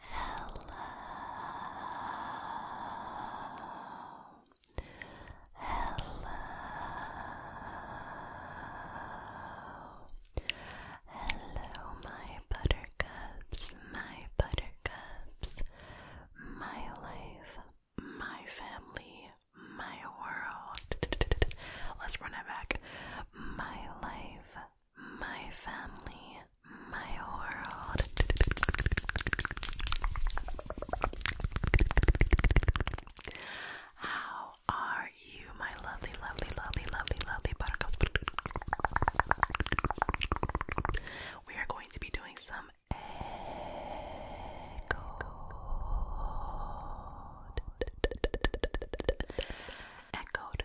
Hello. Hello. Hello, my buttercups, my buttercups, my life, my family, my world. Let's run it back. My life, my family, my world. How are you, my lovely, lovely, lovely, lovely, lovely buttercups? We are going to be doing some echo. Echoed,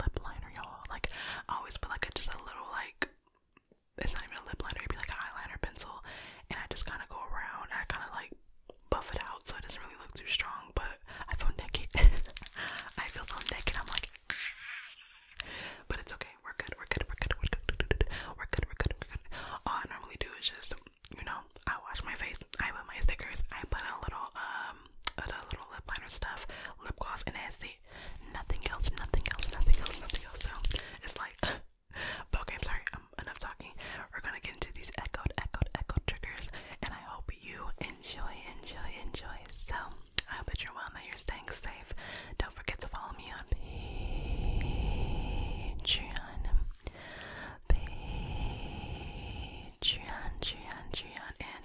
lip liner, y'all. Like, I always put like a, just a little like, it's not even a lip liner, it'd be like an eyeliner pencil, and I just kind of go around and I kind of like buff it out so it doesn't really look too strong. But I feel naked. I feel so naked. I'm like, ah. but it's okay. We're good. We're good. We're good. We're good. We're good. We're good. We're good. All I normally do is just, you know, I wash my face. I put my stickers. I put a little um um little lip liner stuff, lip gloss, and that's it. Nothing else, nothing else, nothing else, nothing else. So it's like, okay, i sorry, I'm um, enough talking. We're gonna get into these echoed, echoed, echoed triggers, and I hope you enjoy, enjoy, enjoy. So I hope that you're well and that you're staying safe. Don't forget to follow me on Patreon, Patreon, Patreon, and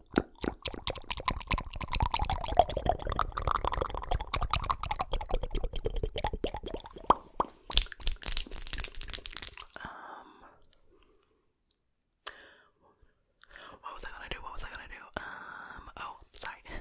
Um, what was I gonna do? What was I gonna do? Um, oh, sorry. Okay.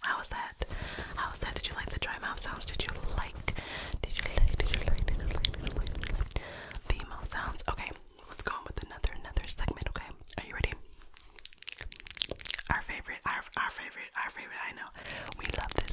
How was that? How was that? Did you like the dry mouth sounds? Did you like? Did you like? Did you like? Did you like? The mouth sounds. Okay, let's go on with another another segment. Okay, are you ready? Our favorite, our our favorite, our favorite. I know we love this.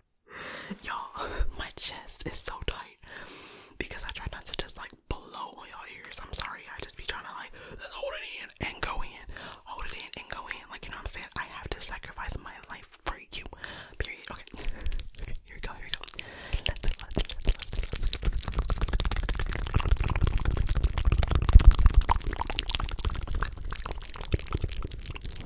Y'all, my chest is so tight because I try not to just like blow on y'all ears. I'm sorry, I just be trying to like hold it in and go in, hold it in and go in. Like, you know what I'm saying? I have to sacrifice my life for you. Period. Okay, here we go, here we go.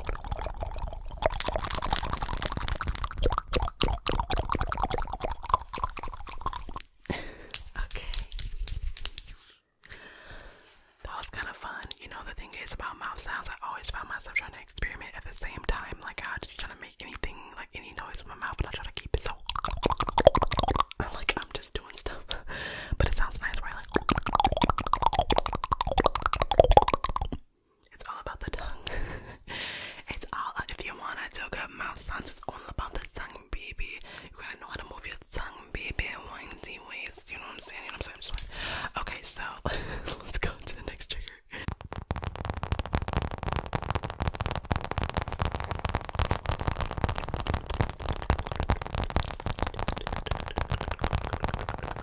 okay. That was kind of fun. You know, the thing is about mouth sounds, I always find myself trying to experiment at the same time. Like, I just trying to make anything, like any noise with my mouth, but I try to keep it so. Like, I'm just doing stuff. But it sounds nice, right? It's all about the tongue. it's all if you wanna do good mouth sounds, it's all about the tongue, baby. You gotta know how to move your tongue, baby. Windy ways, you know what I'm saying? You know what I'm saying? I'm okay, so let's go to the next trigger.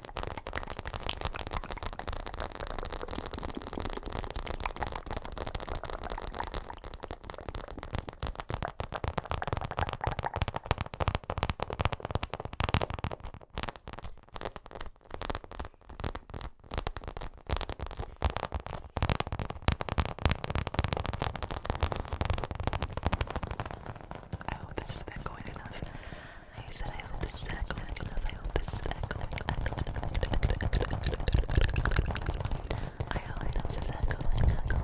I hope this has been going enough. I said I hope this is not going enough. I hope this is not going I hope this is not going, not going, not going enough.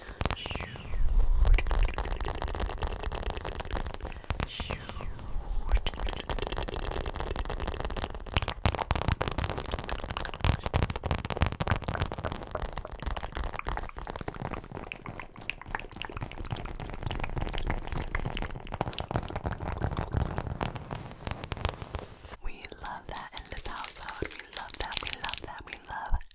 We love that in this household. We love that. We love that. We love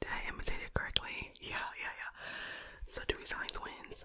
Did I imitate it correctly? Yeah, yeah, yeah. So Dewey Science wins.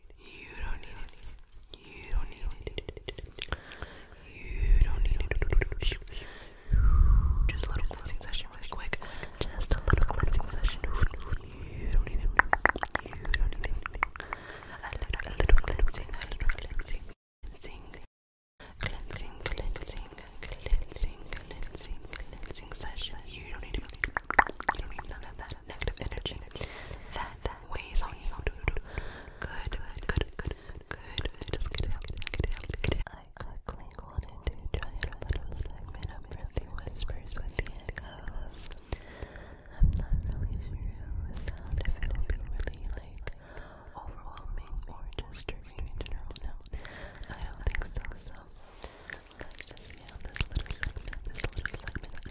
You don't need it. You don't need it. You don't need it. Just a little cleansing session, really quick. Just a little cleansing session. You don't need it. You don't need it. A little, a little cleansing, a little cleansing, cleansing, cleansing, cleansing, cleansing, cleansing, session. You don't need none of that that negative energy that weighs on you. Good, good, good, good. Just get it out, get it I quickly wanted to try a little segment of Earthy Whispers with the echoes. I'm not really sure if it'll be really like overwhelming or just triggering in general. No, I don't think so. So let's just see how this little segment, this little segment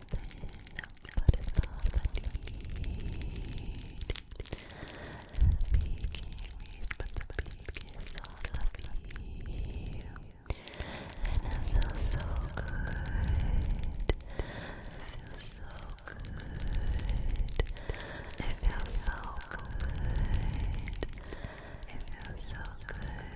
nothing but I need. We so good. It so good. It feels so good. It feels so good.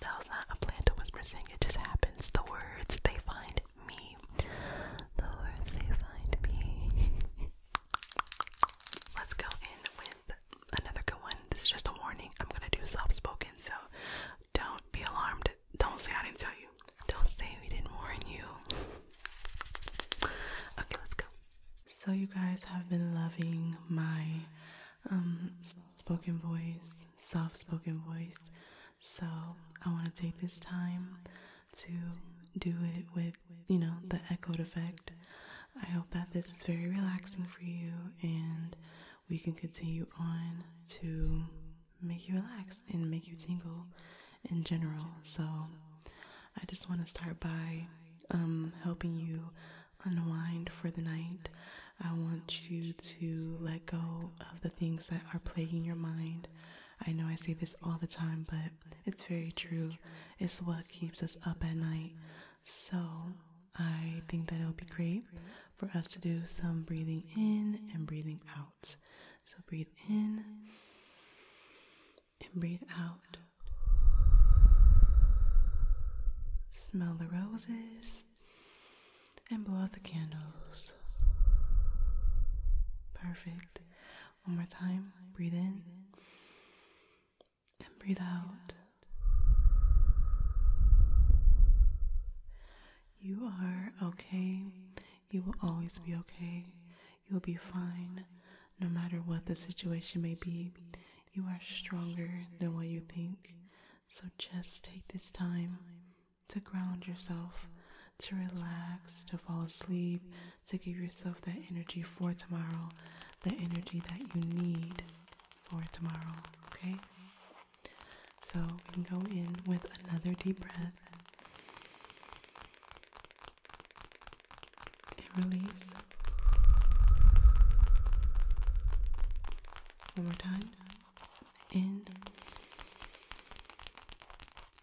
That was not a plan whisper sing, it just happens. The words they find me. The words they find me. Let's go in with another good one. This is just a warning. I'm gonna do soft spoken, so don't be alarmed. Don't say I didn't tell you. Don't say we didn't warn you. Okay, let's go. So, you guys have been loving my um, spoken voice, soft spoken voice. So I want to take this time to do it with, you know, the echoed effect. I hope that this is very relaxing for you and we can continue on to make you relax and make you tingle in general. So I just want to start by um, helping you unwind for the night. I want you to let go of the things that are plaguing your mind. I know I say this all the time, but it's very true. It's what keeps us up at night. So, I think that it would be great for us to do some breathing in and breathing out. So, breathe in and breathe out. Smell the roses and blow out the candles. Perfect. One more time. Breathe in and breathe out. You are okay. You will always be okay. You'll be fine no matter what the situation may be. You are stronger than what you think. So just take this time to ground yourself, to relax, to fall asleep, to give yourself that energy for tomorrow, the energy that you need for tomorrow, okay? So we can go in with another deep breath and release. One more time. In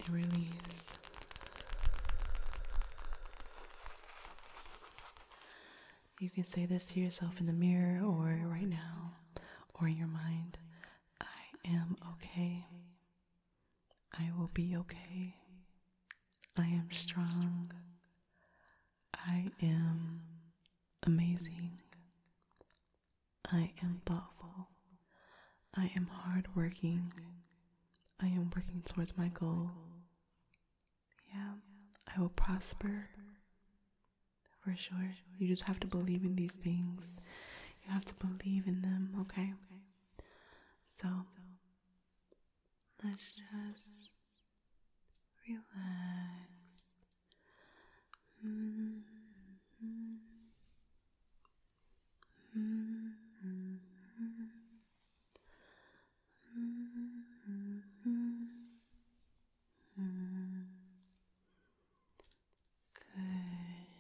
and release. You can say this to yourself in the mirror or right now or in your mind. I am okay. I will be okay. I am strong. I am amazing. I am thoughtful. I am hardworking. I am working towards my goal. Yeah, I will prosper. For sure. You just have to believe in these things. You have to believe in them, okay? So, let's just relax. Mm -hmm. Mm -hmm. Mm -hmm. Good.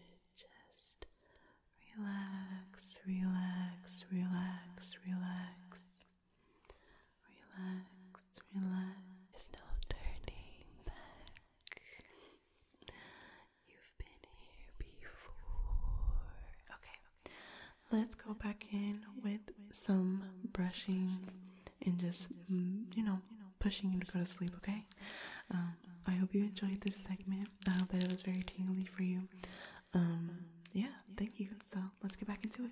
Just relax, relax, relax, relax. Relax, relax. There's no turning back. You've been here before. Okay, let's go back in with some brushing and just, mm, you know, pushing you to go to sleep, okay? Um, I hope you enjoyed this segment. I hope that it was very tingly for you. Um, yeah, thank you. So let's get back into it.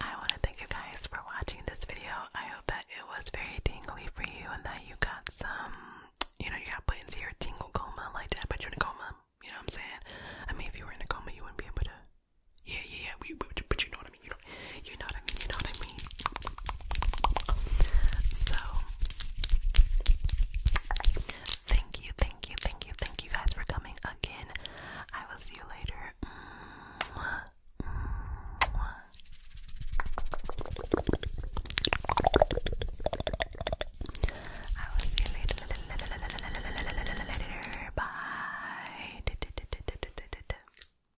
I want to thank you guys for watching this video. I hope that it was very tingly for you and that you got some, you know, you got plans. put into your tingle coma like that, but you're in a coma. You know what I'm saying? I mean, if you were in a coma, you wouldn't be able to. Yeah, yeah, yeah. But you know what I mean you know, what I mean, you know what I mean. So, thank you, thank you, thank you, thank you guys for coming again. I will see you later. I will see you later. Bye.